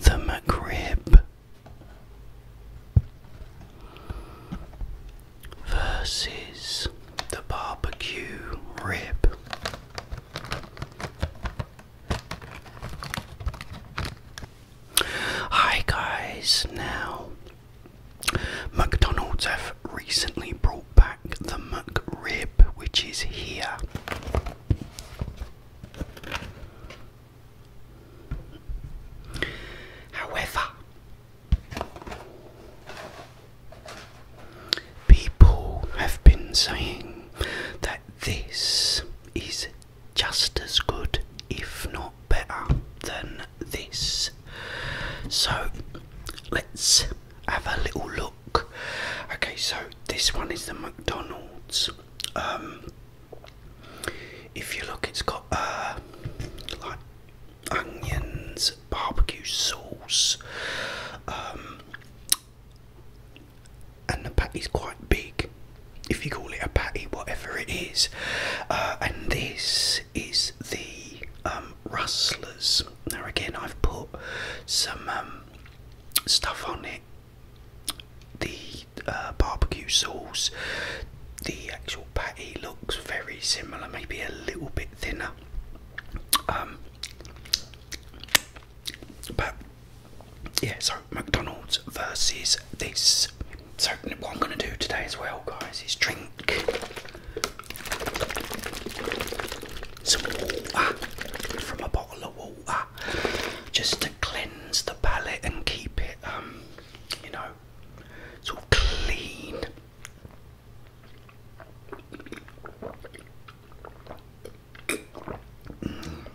The macrib versus the barbecue rib. Hi guys, now McDonald's have recently brought back the macrib, which is here. However, people have been saying that this is just as good, if not better, than this. So let's have a little look. Okay, so this one is the McDonald's. Um, if you look, it's got uh, like onions, barbecue sauce, um, and the patty's quite big. If you call it a patty, whatever it is, uh, and this is the um, rustlers. Now again, I've put some stuff on it the uh, barbecue sauce, the actual patty looks very similar, maybe a little bit thinner. Um, but yeah, so McDonald's versus this. So what I'm gonna do today as well, guys, is drink some water from a bottle of water just to cleanse the palate and keep it, um, you know, sort of clean. Mm.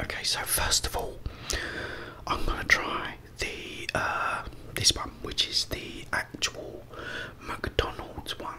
Okay, so first of all, I'm gonna try the uh, this one, which is the actual McDonald's one.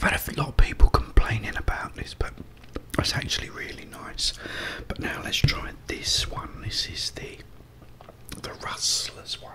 I've had a lot of people complaining about this, but it's actually really nice. But now let's try this one. This is the the Rustlers one.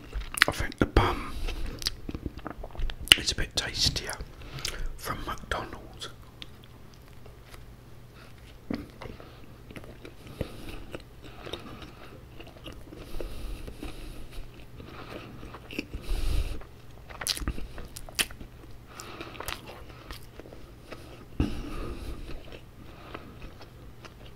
I think the bun is a bit tastier from McDonald's.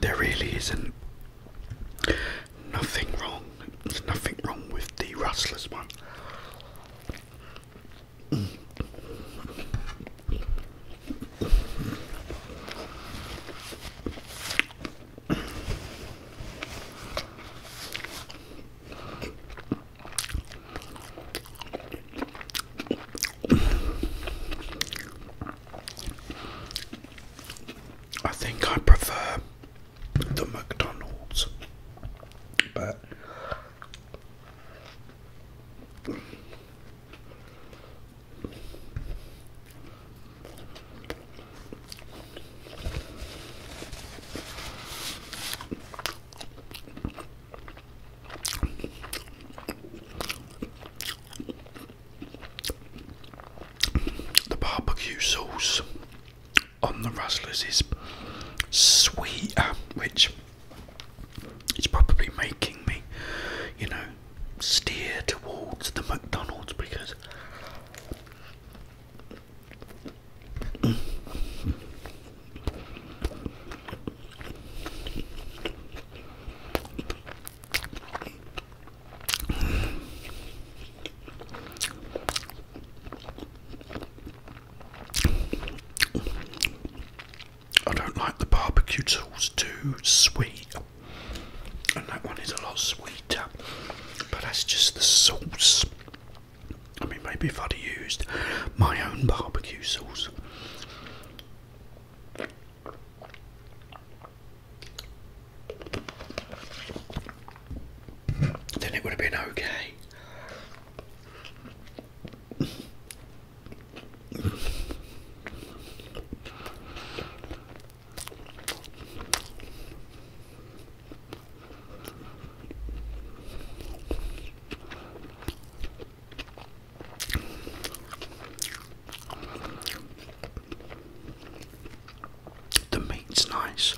There really isn't nothing wrong. There's nothing wrong with the Rustlers one. I think I prefer the McDonald's, but the barbecue sauce on the Razzlers is sweet, which is probably making me, you know, steer towards the McDonald's because I don't like the barbecue sauce too sweet, and that one is a lot sweeter, but that's just the sauce. I mean, maybe if I'd have used my own barbecue sauce. Then it would have been okay. The meat's nice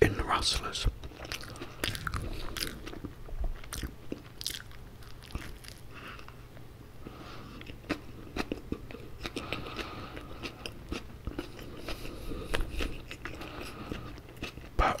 in the Rustlers. But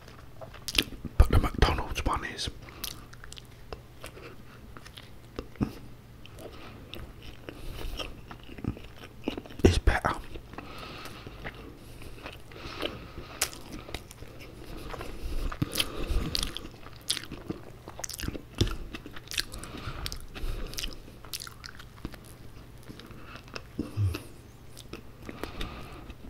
but the McDonald's one is. It's better.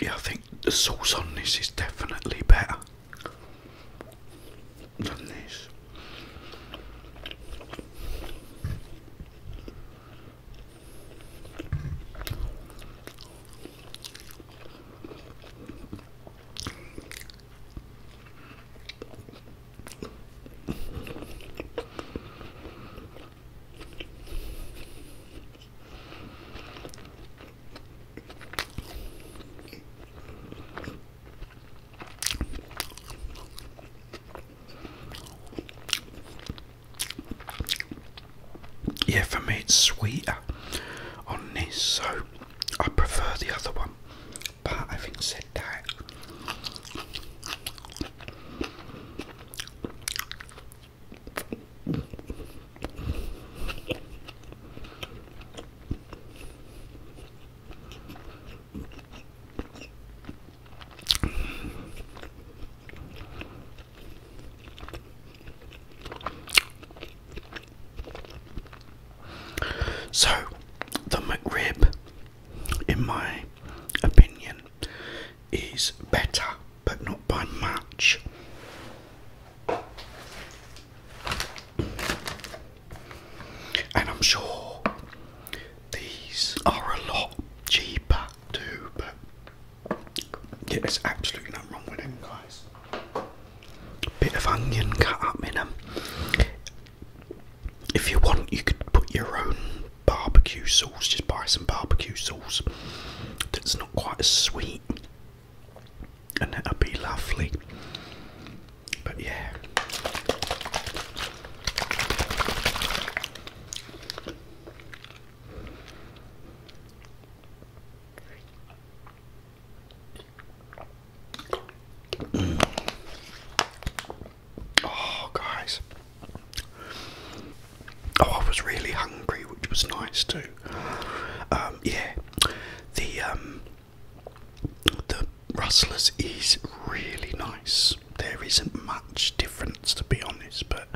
Yeah, I think the sauce on this is definitely better than this. Yeah, for me it's sweeter on this, so I prefer the other one. But think said that, so the McRib in my opinion, is better, but not by much. And I'm sure these are a lot cheaper too, but yeah, there's absolutely nothing wrong with them, guys. Bit of onion cut up in them, if you want, you could put your own barbecue sauce. Just buy some barbecue sauce that's not quite as sweet, and that'll be lovely. But yeah. Oh, guys. Oh, I was really hungry, which was nice too. Um, yeah, the um, the rustlers is really nice. There isn't much difference, to be honest. But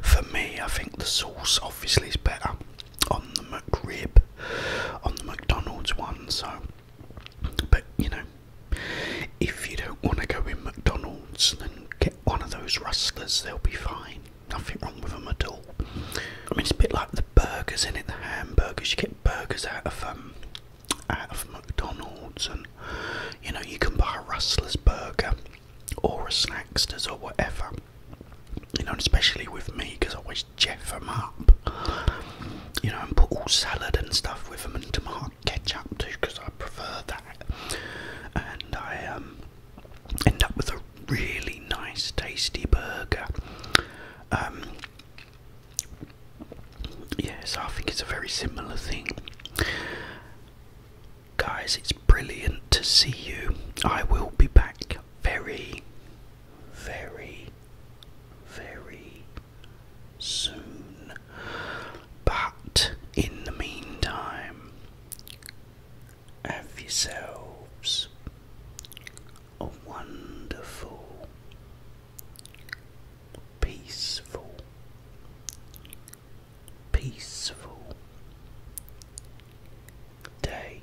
for me, I think the sauce obviously is better on the McRib, on the McDonald's one. So but you know, if you don't want to go in McDonald's, then get one of those rustlers, they'll be fine. Nothing wrong with them at all. I mean, it's a bit like the burgers in it, the hamburgers. You get burgers out of um, out of McDonald's, and you know you can buy a Rustler's burger or a Snackster's or whatever. You know, especially with me because I always jeff them up you know, and put all salad and stuff with them and tomato ketchup too because I prefer that. And I um, end up with a really nice, tasty burger. Um, yes, I think it's a very similar thing. Guys, it's brilliant to see you. I will be back very, very, very soon. But in the meantime, have yourselves a wonderful, peaceful, peaceful day.